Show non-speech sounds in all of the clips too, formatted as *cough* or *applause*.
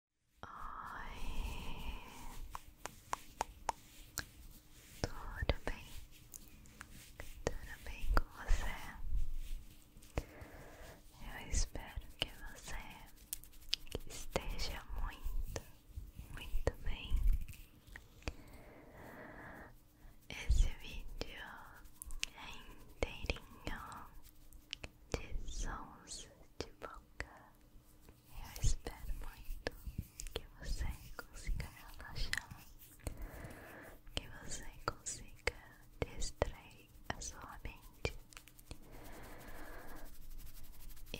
Oi, tudo bem? Tudo bem com você? Eu espero que você esteja muito, muito bem. Esse vídeo é inteirinho de sons de boca. Eu espero muito que você consiga relaxar, que você consiga distrair a sua mente e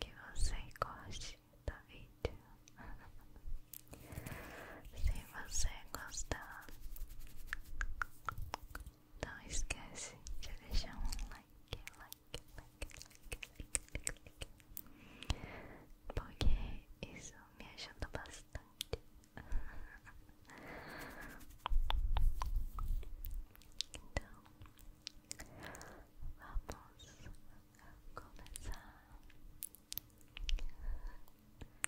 que você goste do vídeo. *laughs* Se você gostar, não esquece de deixar um like, like, like, like, like, like, Porque isso me ajuda bastante. Então, vamos começar.